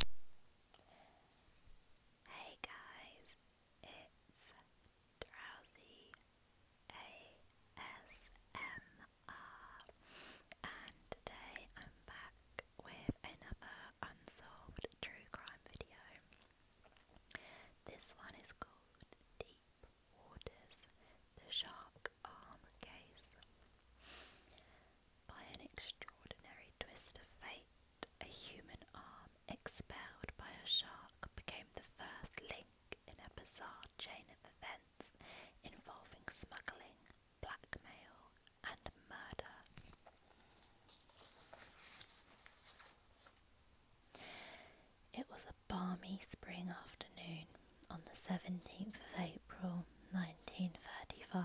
Hey guys, it's Drowsy ASMR, and today I'm back with another unsolved true crime video. This one is called Deep Waters The Shark Arm Case. By an extraordinary twist of fate, a human arm expelled by a shark became the first link in a bizarre chain of events involving smuggling, blackmail, and murder. It was a balmy spring afternoon on the 17th of April 1935.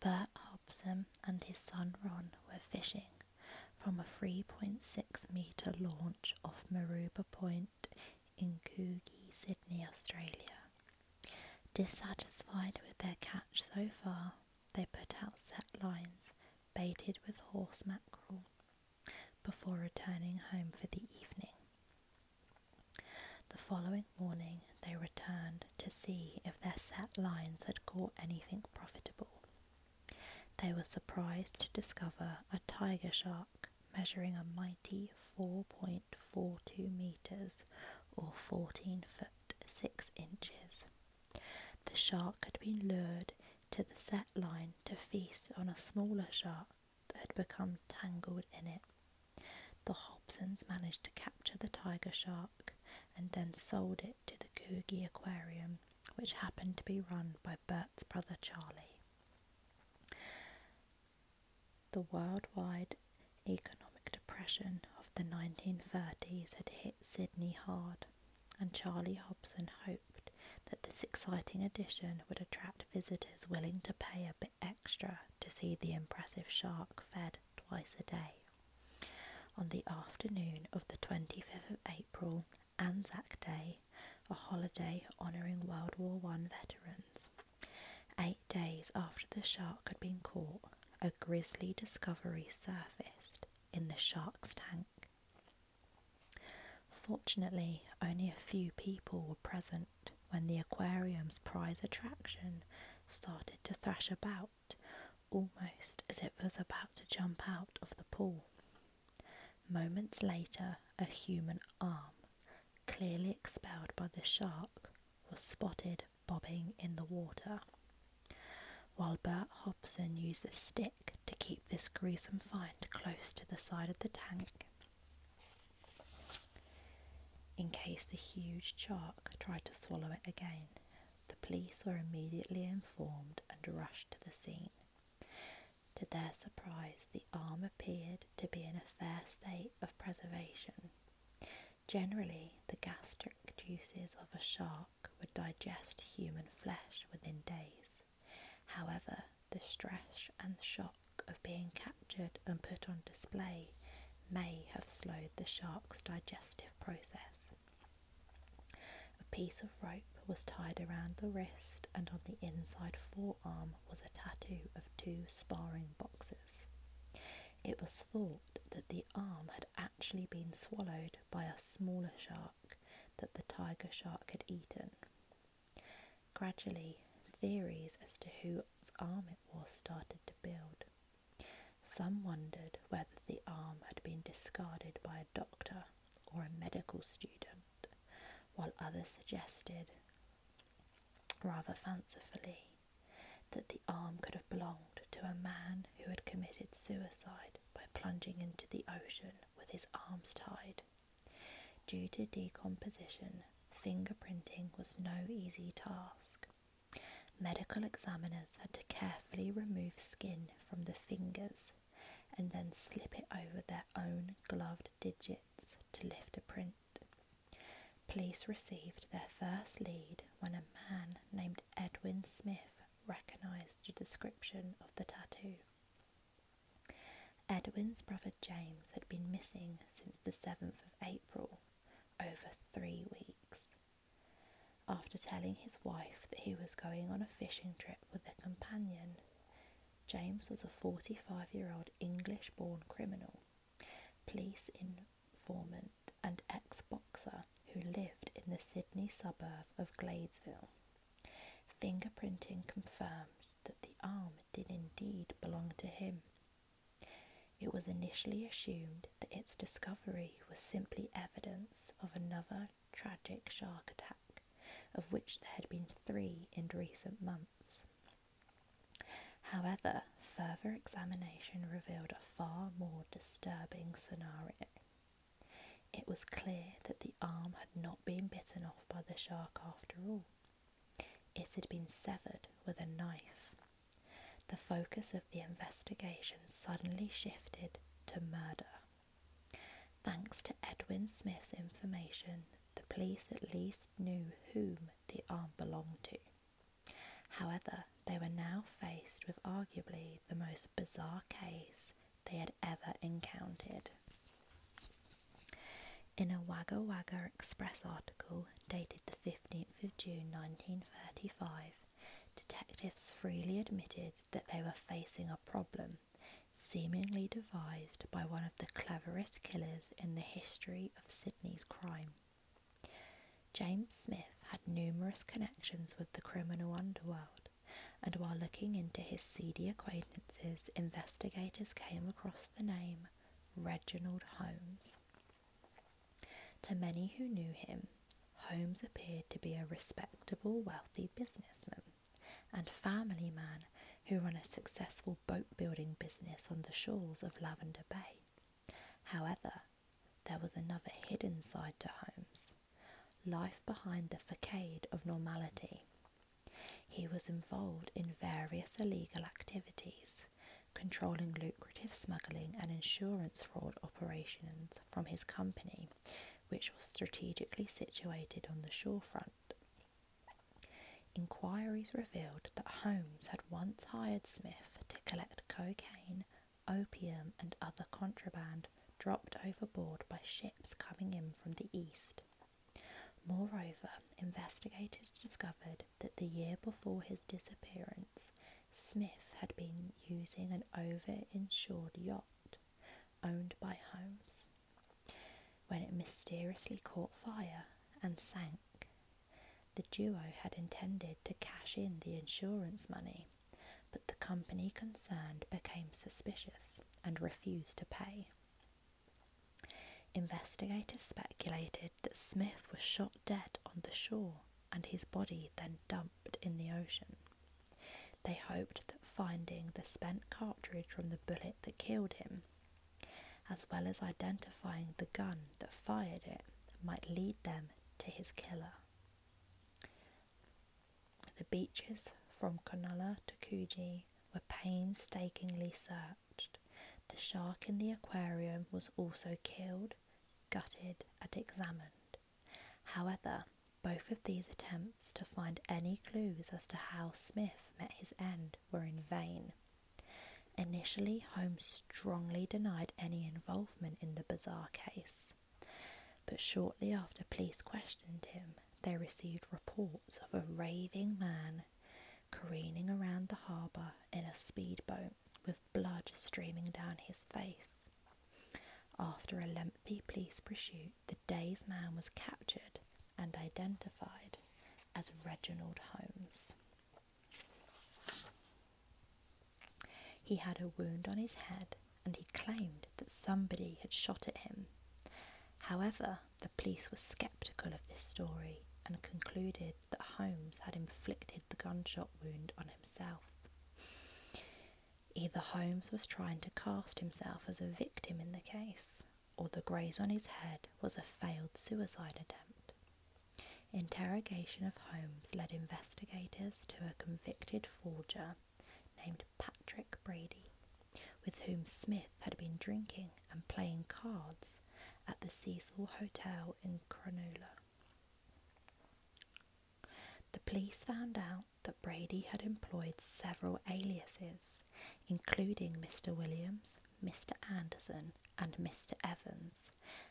Bert Hobson and his son Ron were fishing from a 3.6 metre launch off Maruba Point in Coogee, Sydney, Australia. Dissatisfied with their catch so far, they put out set lines baited with horse mackerel before returning home for the evening. The following morning they returned to see if their set lines had caught anything profitable. They were surprised to discover a tiger shark measuring a mighty 4.42 metres or 14 foot 6 inches. The shark had been lured to the set line to feast on a smaller shark that had become tangled in it. The Hobsons managed to capture the tiger shark and then sold it to the Coogee Aquarium, which happened to be run by Bert's brother Charlie. The worldwide economic depression of the 1930s had hit Sydney hard, and Charlie Hobson hoped that this exciting addition would attract visitors willing to pay a bit extra to see the impressive shark fed twice a day. On the afternoon of the 25th of April, Anzac Day, a holiday honouring World War I veterans. Eight days after the shark had been caught, a grisly discovery surfaced in the shark's tank. Fortunately, only a few people were present when the aquarium's prize attraction started to thrash about, almost as it was about to jump out of the pool. Moments later, a human arm, clearly expelled by the shark, was spotted bobbing in the water. While Bert Hobson used a stick to keep this gruesome find close to the side of the tank, in case the huge shark tried to swallow it again, the police were immediately informed and rushed to the scene. To their surprise, the arm appeared to be in a fair state of preservation. Generally, the gastric juices of a shark would digest human flesh within days. However, the stress and shock of being captured and put on display may have slowed the shark's digestive process. A piece of rope was tied around the wrist, and on the inside forearm was a tattoo of two sparring boxes. It was thought that the arm had actually been swallowed by a smaller shark that the tiger shark had eaten. Gradually, theories as to whose arm it was started to build. Some wondered whether the arm had been discarded by a doctor or a medical student, while others suggested, rather fancifully, that the arm could have belonged to a man who had committed suicide by plunging into the ocean with his arms tied. Due to decomposition, fingerprinting was no easy task. Medical examiners had to carefully remove skin from the fingers and then slip it over their own gloved digits to lift a print. Police received their first lead when a man named Edwin Smith recognised a description of the tattoo. Edwin's brother James had been missing since the 7th of April, over three weeks. After telling his wife that he was going on a fishing trip with a companion, James was a 45 year old English born criminal, police informant, and ex boxer who lived in the Sydney suburb of Gladesville. Fingerprinting confirmed that the arm did indeed belong to him. It was initially assumed that its discovery was simply evidence of another tragic shark attack, of which there had been three in recent months. However, further examination revealed a far more disturbing scenario. It was clear that the arm had not been bitten off by the shark after all. It had been severed with a knife. The focus of the investigation suddenly shifted to murder. Thanks to Edwin Smith's information, the police at least knew whom the arm belonged to. However, they were now faced with arguably the most bizarre case they had ever encountered. In a Wagga Wagga Express article dated the 15th of June 1935, detectives freely admitted that they were facing a problem seemingly devised by one of the cleverest killers in the history of Sydney's crime. James Smith had numerous connections with the criminal underworld and while looking into his seedy acquaintances, investigators came across the name Reginald Holmes. To many who knew him, Holmes appeared to be a respectable, wealthy businessman and family man who ran a successful boat building business on the shores of Lavender Bay. However, there was another hidden side to Holmes life behind the facade of normality. He was involved in various illegal activities, controlling lucrative smuggling and insurance fraud operations from his company, which was strategically situated on the shorefront. Inquiries revealed that Holmes had once hired Smith to collect cocaine, opium, and other contraband dropped overboard by ships coming in from the east. Moreover, investigators discovered that the year before his disappearance, Smith had been using an over insured yacht owned by Holmes when it mysteriously caught fire and sank. The duo had intended to cash in the insurance money but the company concerned became suspicious and refused to pay. Investigators speculated that Smith was shot dead on the shore and his body then dumped in the ocean. They hoped that finding the spent cartridge from the bullet that killed him, as well as identifying the gun that fired it, might lead them to his killer. The beaches from Cronulla to Coogee were painstakingly searched. The shark in the aquarium was also killed, gutted, and examined. However, both of these attempts to find any clues as to how Smith met his end were in vain. Initially, Holmes strongly denied any involvement in the bizarre case, but shortly after police questioned him, they received reports of a raving man careening around the harbour in a speedboat with blood streaming down his face. After a lengthy police pursuit, the day's man was captured and identified as Reginald Holmes. He had a wound on his head and he claimed that somebody had shot at him. However, the police were skeptical of this story and concluded that Holmes had inflicted the gunshot wound on himself. Either Holmes was trying to cast himself as a victim in the case, or the graze on his head was a failed suicide attempt. Interrogation of Holmes led investigators to a convicted forger named Patrick Brady, with whom Smith had been drinking and playing cards at the Cecil Hotel in Cronulla. The police found out that Brady had employed several aliases, including Mr. Williams, Mr. Anderson, and Mr. Evans,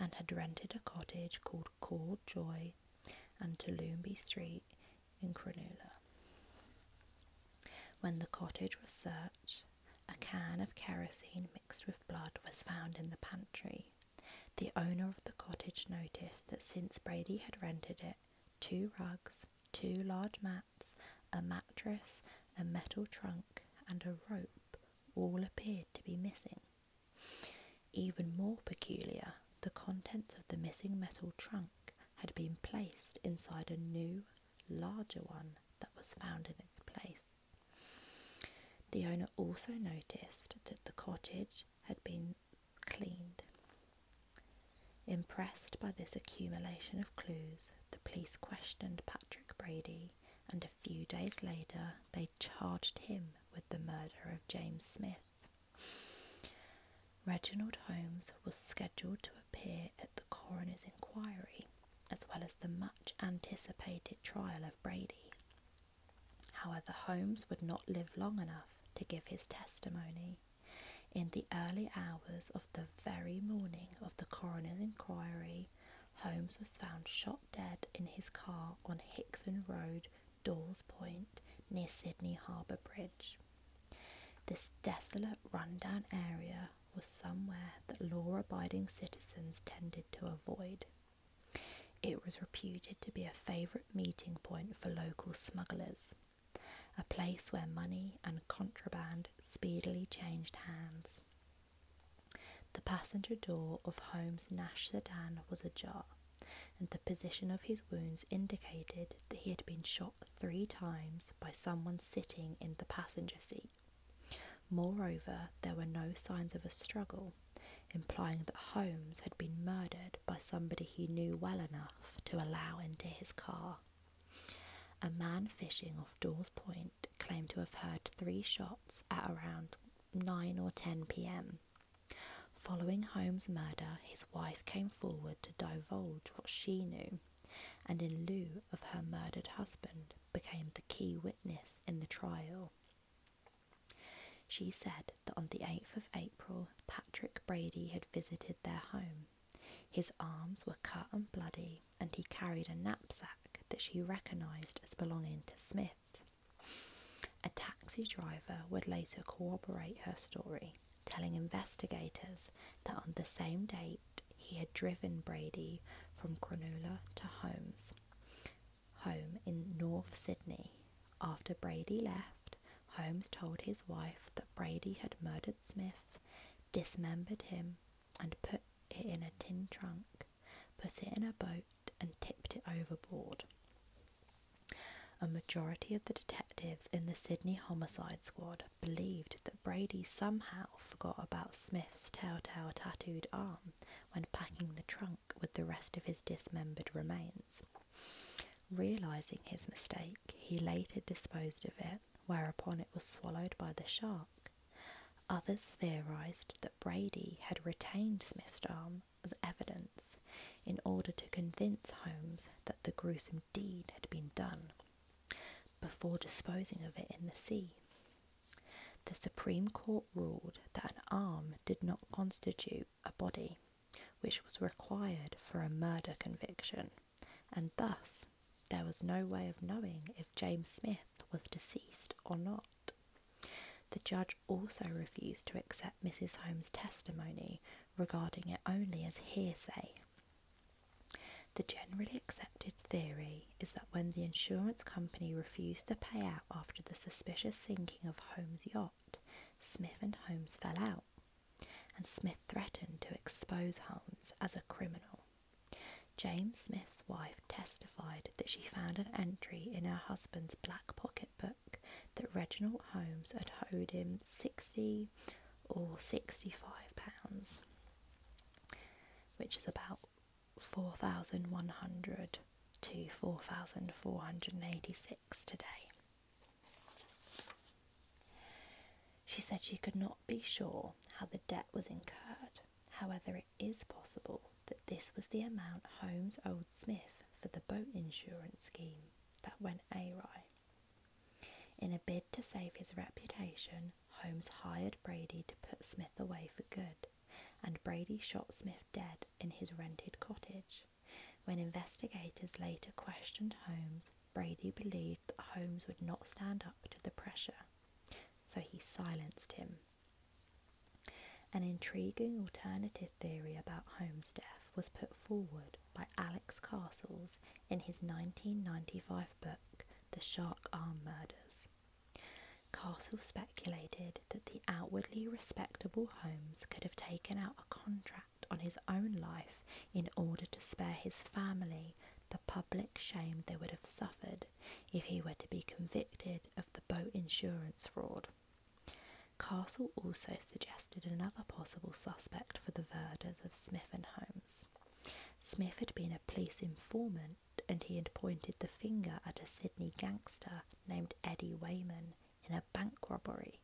and had rented a cottage called called Joy and Toowoomba Street in Cronulla. When the cottage was searched, a can of kerosene mixed with blood was found in the pantry. The owner of the cottage noticed that since Brady had rented it, two rugs, two large mats, a mattress, a metal trunk, and a rope all appeared to be missing. Even more peculiar, the contents of the missing metal trunk had been placed inside a new, larger one that was found in its place. The owner also noticed that the cottage had been cleaned. Impressed by this accumulation of clues, the police questioned Patrick Brady and a few days later they charged him with the murder of James Smith. Reginald Holmes was scheduled to appear at the coroner's inquiry, as well as the much anticipated trial of Brady. However, Holmes would not live long enough to give his testimony. In the early hours of the very morning of the coroner's inquiry, Holmes was found shot dead in his car on Hickson Road, Dawes Point, near Sydney Harbour Bridge. This desolate, rundown area was somewhere that law abiding citizens tended to avoid. It was reputed to be a favourite meeting point for local smugglers, a place where money and contraband speedily changed hands. The passenger door of Holmes' Nash's sedan was ajar, and the position of his wounds indicated that he had been shot three times by someone sitting in the passenger seat. Moreover, there were no signs of a struggle, implying that Holmes had been murdered by somebody he knew well enough to allow into his car. A man fishing off Dawes Point claimed to have heard three shots at around 9 or 10 pm. Following Holmes' murder, his wife came forward to divulge what she knew and, in lieu of her murdered husband, became the key witness in the trial. She said that on the 8th of April, Patrick Brady had visited their home. His arms were cut and bloody, and he carried a knapsack that she recognised as belonging to Smith. A taxi driver would later corroborate her story, telling investigators that on the same date he had driven Brady from Cronulla to Holmes, home in North Sydney. After Brady left, Holmes told his wife that Brady had murdered Smith, dismembered him, and put it in a tin trunk put it in a boat, and tipped it overboard. A majority of the detectives in the Sydney Homicide Squad believed that Brady somehow forgot about Smith's telltale tattooed arm when packing the trunk with the rest of his dismembered remains. Realising his mistake, he later disposed of it, whereupon it was swallowed by the shark, Others theorised that Brady had retained Smith's arm as evidence in order to convince Holmes that the gruesome deed had been done before disposing of it in the sea. The Supreme Court ruled that an arm did not constitute a body, which was required for a murder conviction, and thus there was no way of knowing if James Smith was deceased or not. The judge also refused to accept Mrs. Holmes' testimony, regarding it only as hearsay. The generally accepted theory is that when the insurance company refused to pay out after the suspicious sinking of Holmes' yacht, Smith and Holmes fell out, and Smith threatened to expose Holmes as a criminal. James Smith's wife testified that she found an entry in her husband's black pocket book that Reginald Holmes had owed him 60 or 65 pounds, which is about 4,100 to 4,486 today. She said she could not be sure how the debt was incurred, However, it is possible that this was the amount Holmes owed Smith for the boat insurance scheme that went awry. In a bid to save his reputation, Holmes hired Brady to put Smith away for good, and Brady shot Smith dead in his rented cottage. When investigators later questioned Holmes, Brady believed that Holmes would not stand up to the pressure so he silenced him. An intriguing alternative theory about Holmes' death was put forward by Alex Castles in his 1995 book, The Shark Arm Murders. Castle speculated that the outwardly respectable Holmes could have taken out a contract on his own life in order to spare his family the public shame they would have suffered if he were to be convicted of the boat insurance fraud. Castle also suggested another possible suspect for the murders of Smith and Holmes. Smith had been a police informant and he had pointed the finger at a Sydney gangster named Eddie Wayman in a bank robbery.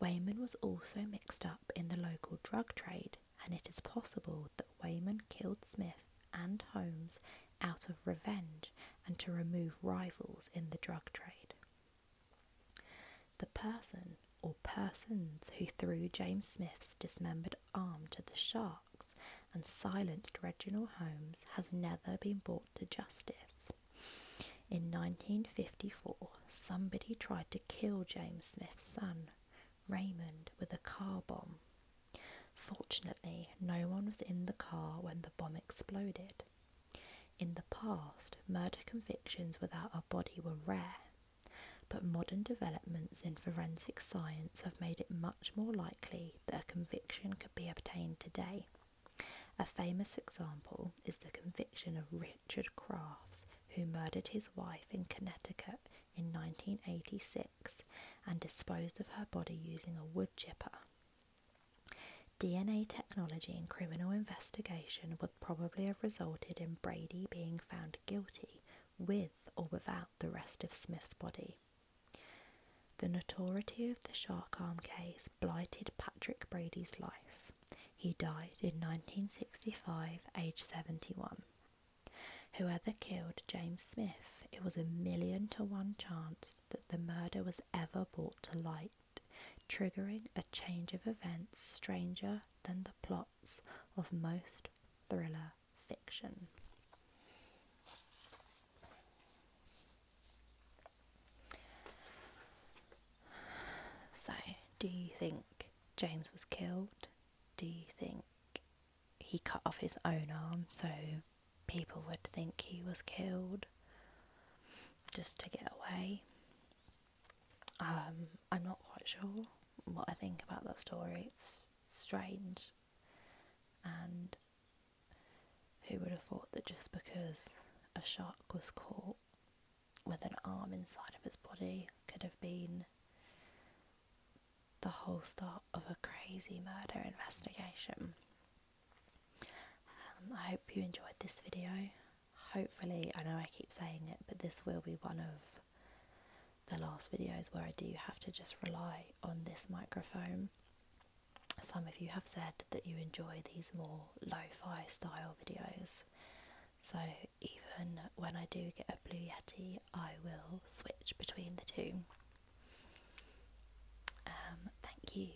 Wayman was also mixed up in the local drug trade and it is possible that Wayman killed Smith and Holmes out of revenge and to remove rivals in the drug trade. The person or persons who threw James Smith's dismembered arm to the sharks and silenced Reginald Holmes has never been brought to justice. In 1954, somebody tried to kill James Smith's son, Raymond with a car bomb. Fortunately, no one was in the car when the bomb exploded. In the past, murder convictions without a body were rare, but modern developments in forensic science have made it much more likely that a conviction could be obtained today. A famous example is the conviction of Richard Crafts, who murdered his wife in Connecticut in 1986 and disposed of her body using a wood chipper. DNA technology in criminal investigation would probably have resulted in Brady being found guilty with or without the rest of Smith's body. The notoriety of the Shark Arm case blighted Patrick Brady's life. He died in 1965, age 71. Whoever killed James Smith, it was a million to one chance that the murder was ever brought to light, triggering a change of events stranger than the plots of most thriller fiction. So, do you think James was killed, do you think he cut off his own arm so people would think he was killed just to get away? Um, I'm not quite sure what I think about that story. It's strange. And who would have thought that just because a shark was caught with an arm inside of his body could have been the whole start of a crazy murder investigation. Um, I hope you enjoyed this video. Hopefully, I know I keep saying it, but this will be one of the last videos where I do have to just rely on this microphone. Some of you have said that you enjoy these more lo fi style videos, so even when I do get a Blue Yeti, I will switch between the two. Um, thank you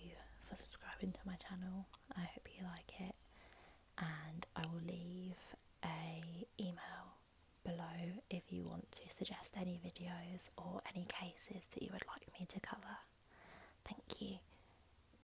for subscribing to my channel. I hope you like it, and I will leave a email below if you want to suggest any videos or any cases that you would like me to cover. Thank you